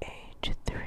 Age three.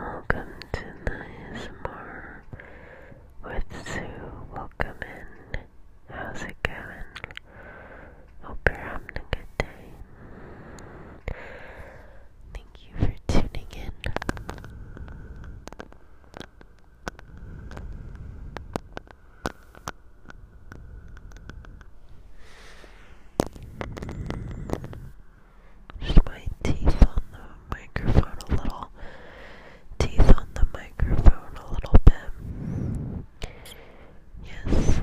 Welcome to the with Sue. Welcome in. How's it going? Hope you're having a good day. Thank you for tuning in. Just my teeth on the microphone a little. Teeth on the microphone a little bit. Yes.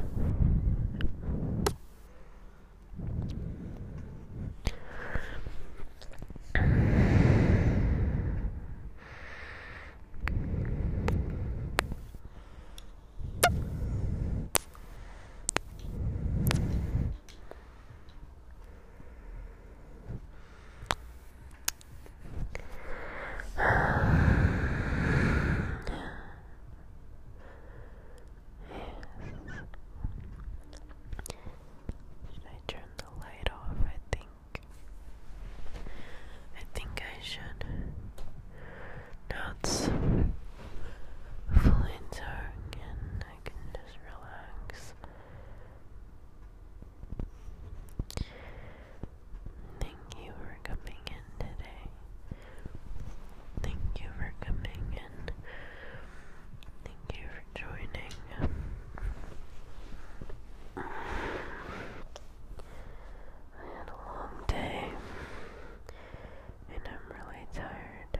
Should I turn the light off? I think I think I should. Now it's fully dark and I can just relax. Thank you for coming in today. Thank you for coming in. Thank you for joining. I had a long day, and I'm really tired.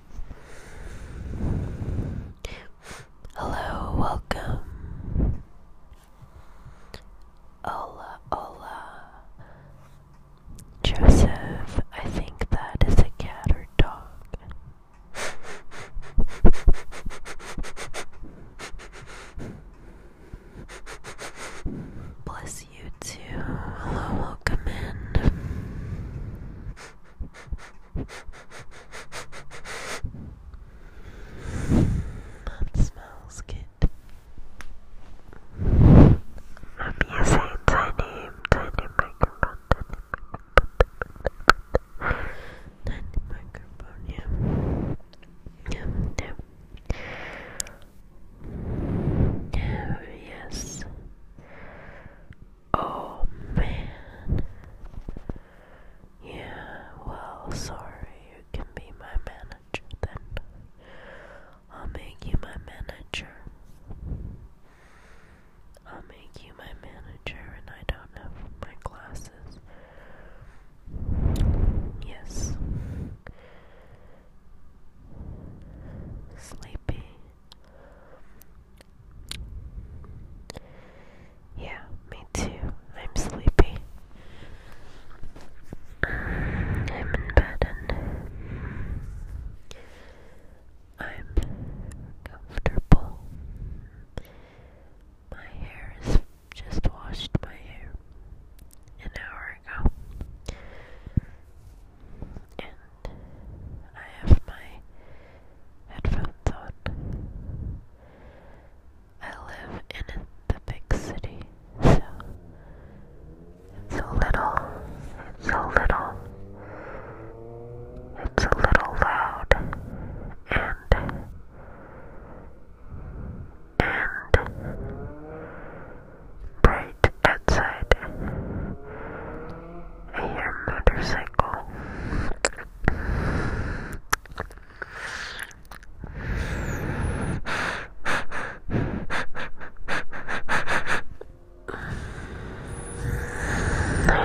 Hello, welcome. Hola, hola. Joseph, I think that is a cat or dog. Bless you too. welcome in. That smells good. I'm using tiny, tiny microphone, tiny microphone, yeah. Yeah, yeah. Oh, yes. Oh man. Yeah, well, sorry, you can be my manager then. I'll make you my manager. I'll make you my manager, and I don't have my glasses. Yes. Sleepy. Yeah, me too. I'm sleepy. I'm in bed and I'm comfortable. My hair is just washed my hair an hour ago. And I have my headphones on. I live in the big city, so it's a little, it's a little, it's a little loud and, and bright outside. I hear motorcycle I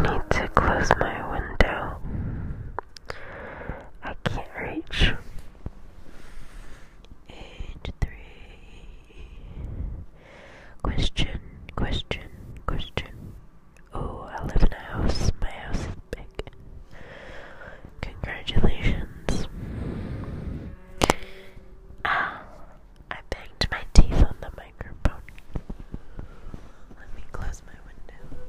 need to close my window. I can't reach. And three. Question, question, question. Oh, I live in a house. My house is big. Congratulations. Ah, I banged my teeth on the microphone. Let me close my window.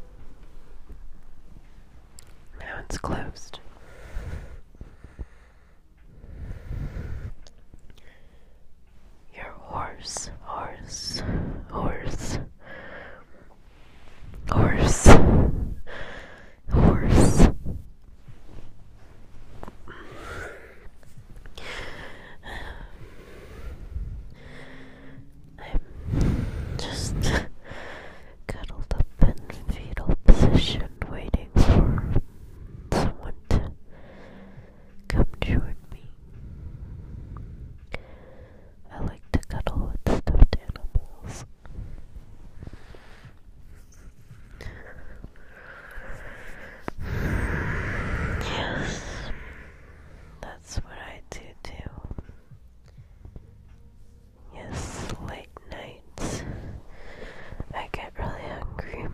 Now it's closed. Your horse, horse, horse, horse, horse. I'm just cuddled up in fetal position, waiting for someone to come join me. I like to cuddle with stuffed animals. Yes, that's what I do too. Yes, late nights. I get really hungry.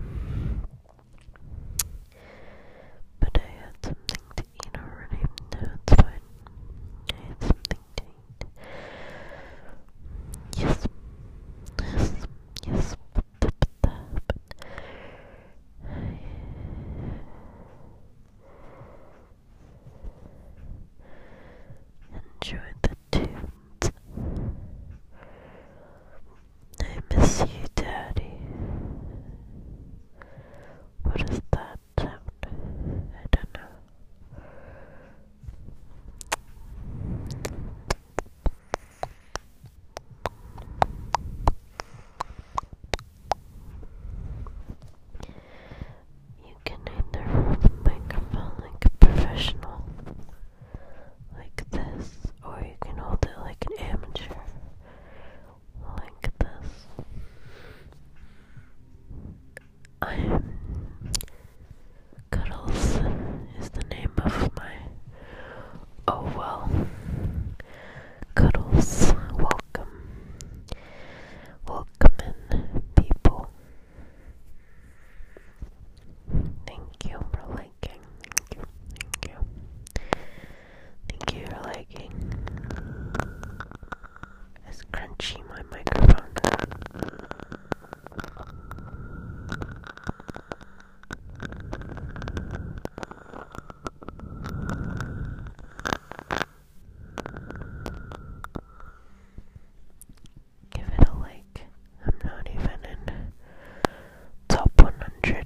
But I had something to eat already. No, it's fine. I had something to eat. Yes. Yes. Yes. Enjoy the tunes. I miss you, Daddy. What is that sound? I don't know. You can either hold the microphone like a professional, like this, or you can hold it like an amateur, like this. I'm Cuddles is the name of my oh well. Cuddles, welcome. Welcome in people. Thank you for liking. Thank you. Thank you. Thank you for liking. It's crunchy, my microphone. Give it a like. I'm not even in top 100.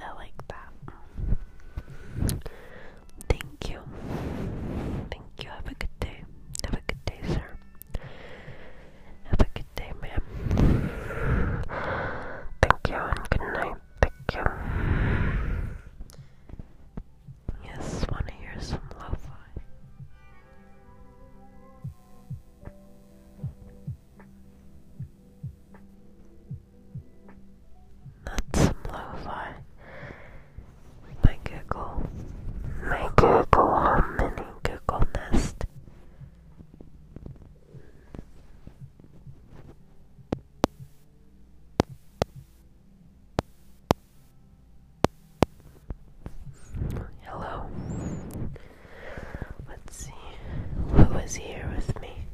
I like that. Thank you. Thank you. Have a good day. Have a good day, sir. Have a good day, ma'am. Thank you and good night. Thank you. Yes, want to hear some lo that's some lo-fi. My Google. My Google Harmony Google Nest. Hello. Let's see who is here with me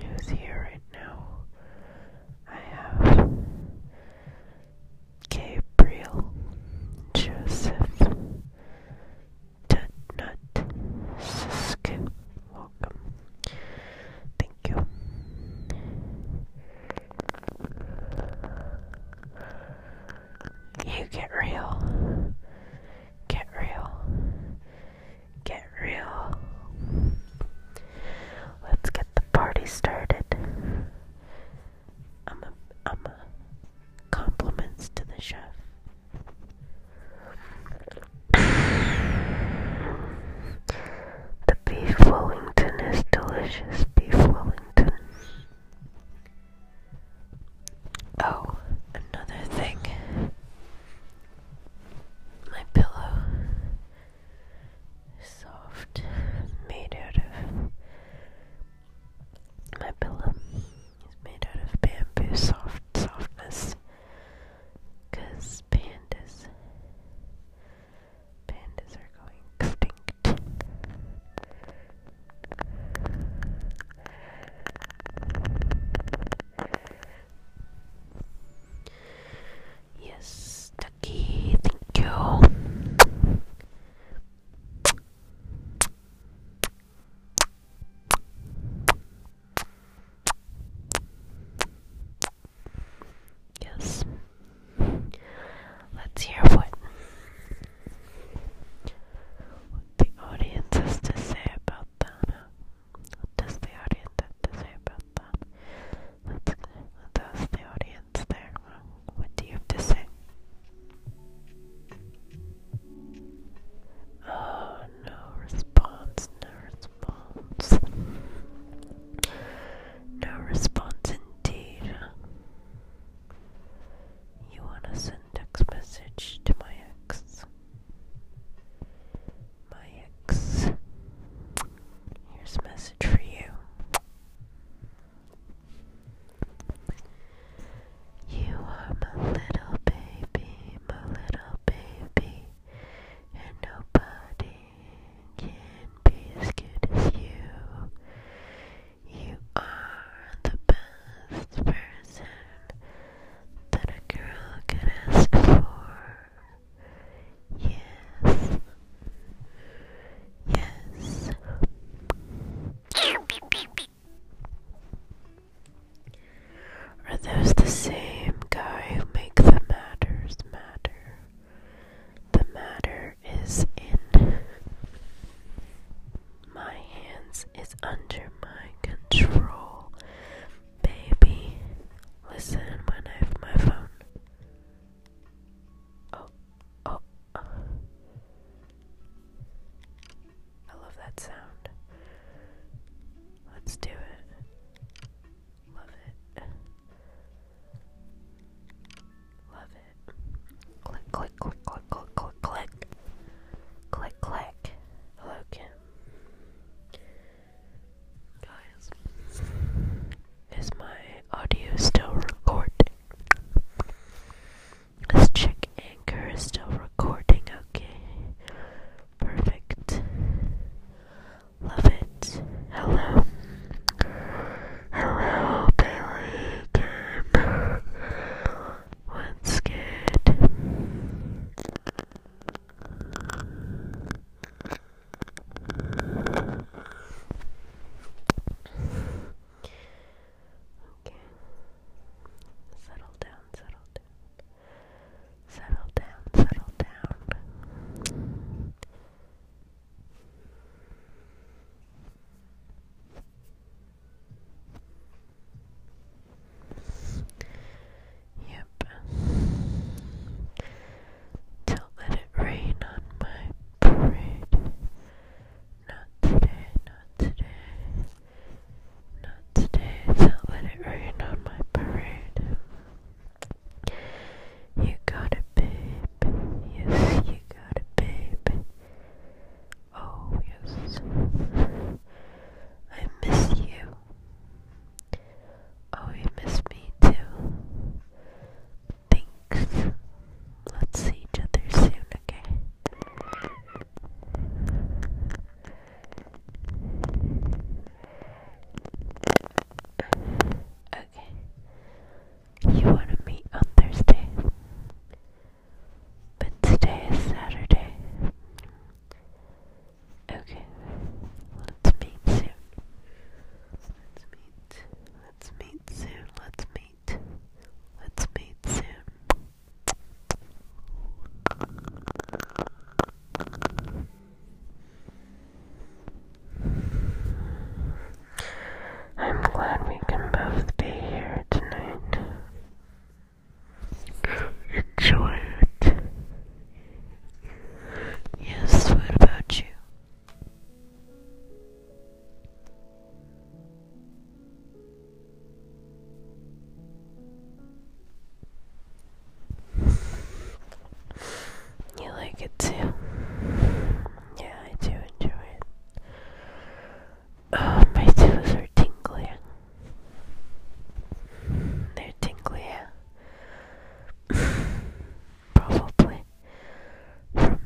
who's here right now. I have Gabriel, Joseph, Tutnut, Sisk. Welcome. Thank you. You get real. Get real get real. Let's get the party started. I'm a, I'm a compliments to the chef. the beef Wellington is delicious. Beef Wellington. Oh, another thing. My pillow soft, made out of. My pillow is made out of bamboo soft softness. pandas. Pandas are going extinct. Yes, the key, thank you. Yes. Let's hear what, the audience has to say about Donna. Does the audience have to say about that? does the audience there. What do you have to say? Oh no response, no response. No response indeed. You wanna send text message to my ex? My ex. Here's a message for you. You are my little baby, my little baby, and nobody can be as good as you. You are the best person that a girl could ask for. Yes. Yes. Are those the same guy who make the matters matter? The matter is in my hands is under my control. Baby, listen when I have my phone. Oh, oh. Uh. I love that sound. Let's do it. Love it. Love it. Click, click, click, click, click, click, click. Click, click. Hello, Guys, is my audio still recording? Let's check Anchor is still recording, okay. Perfect. Love it. Hello. Hello, Billy again. What's Okay. Settle down, settle down. Settle down, settle down. Okay. Yep. Don't let it rain on my parade. Not today, not today. Not today, don't let it rain on my parade. You got it, babe. Yes, you got it, babe. Oh, yes. I miss you. Oh, you miss me too. Thanks. Let's see each other soon, okay? Okay. You want to on Thursday? But today is Saturday. Okay, let's meet soon. Let's meet. Let's meet soon. Let's meet. Let's meet soon. I'm glad we can both be here tonight. Enjoy it. Yes, what about you? You like it too? Yeah, I do enjoy it. Oh, my toes are tingly. They're tingly, Probably from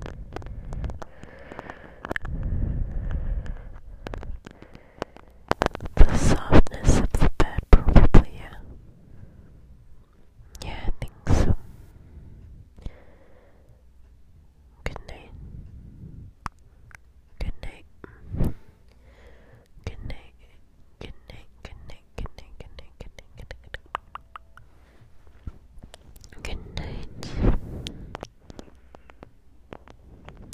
the the softness of the bed, probably, yeah. Yeah, I think so. Good night. Good night. Good night. Good night. Good night. Good night. Good night. Good night. Good night. Good night.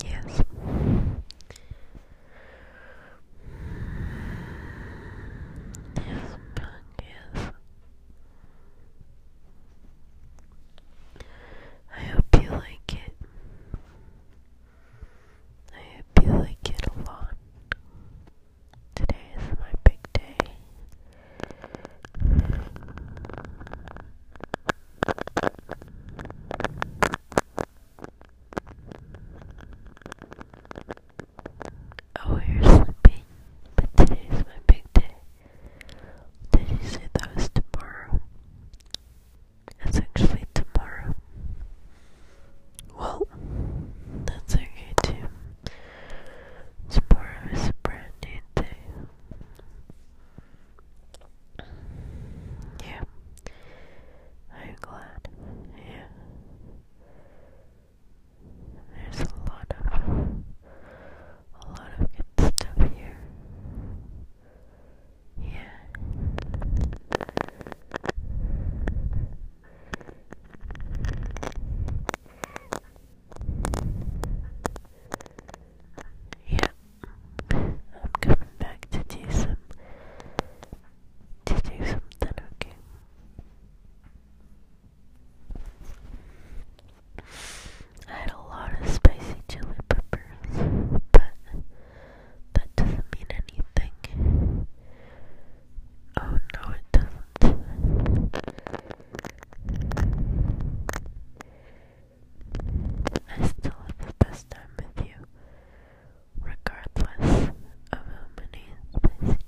Yes. Yes, yes. I hope you like it. I hope you like it a lot. Today is my big day. Oh, you're sleeping, but today is my big day. Did you say that was tomorrow? It's actually tomorrow. Well, that's okay too. Tomorrow is a brand new day. Yeah. I'm glad. Yeah. There's a lot of a lot of good stuff here. Yeah. Yeah. I'm coming back to do some to do something, okay. I had a lot of spicy chili peppers, but that doesn't mean anything. Oh no, it doesn't. I still have the best time with you, regardless of how many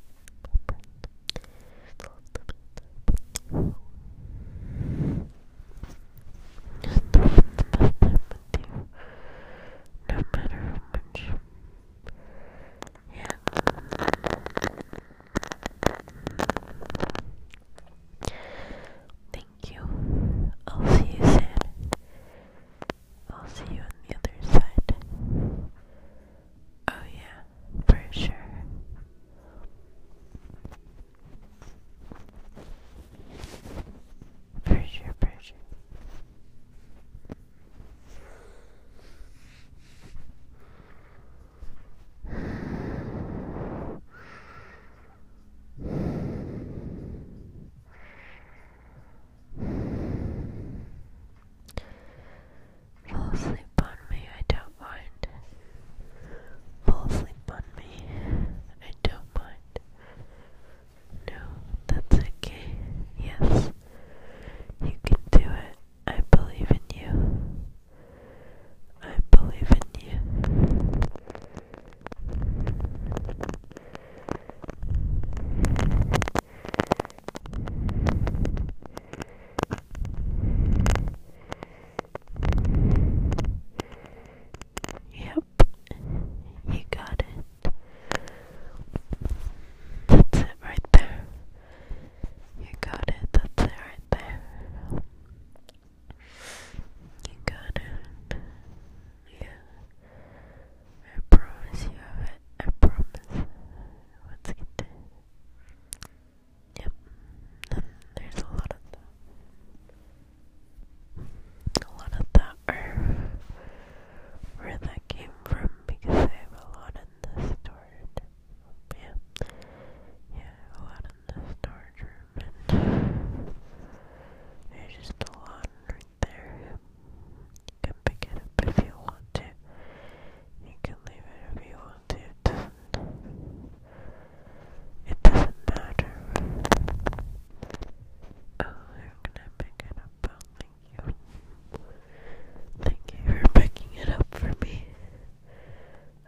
no matter how much. Yeah. Thank you. I'll see you soon. I'll see you on the other side. Oh, yeah, for sure. Pressure, pressure. Fall asleep on me, I don't mind. Fall asleep on me, I don't mind. No, that's okay. Yes, you can do it. I believe in you. I believe in you. Yep, you got it. That's it right there. You got it. That's it right there. You got it. I promise you have it. I promise. Let's get there. Yep. There's a lot of them a lot of that where that came from because I have a lot in the storage. Yeah, yeah, a lot in the storage room, and there's just a lot right there. You can pick it up if you want to. You can leave it if you want to. It doesn't. matter. Oh, gonna pick it up. Oh, thank you. Thank you for picking it up for me.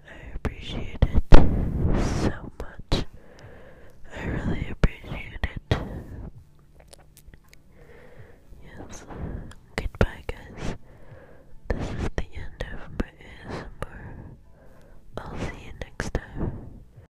I appreciate it so much. I really appreciate it. Yes. Goodbye, guys. This is the end of my ASMR. I'll see you next time.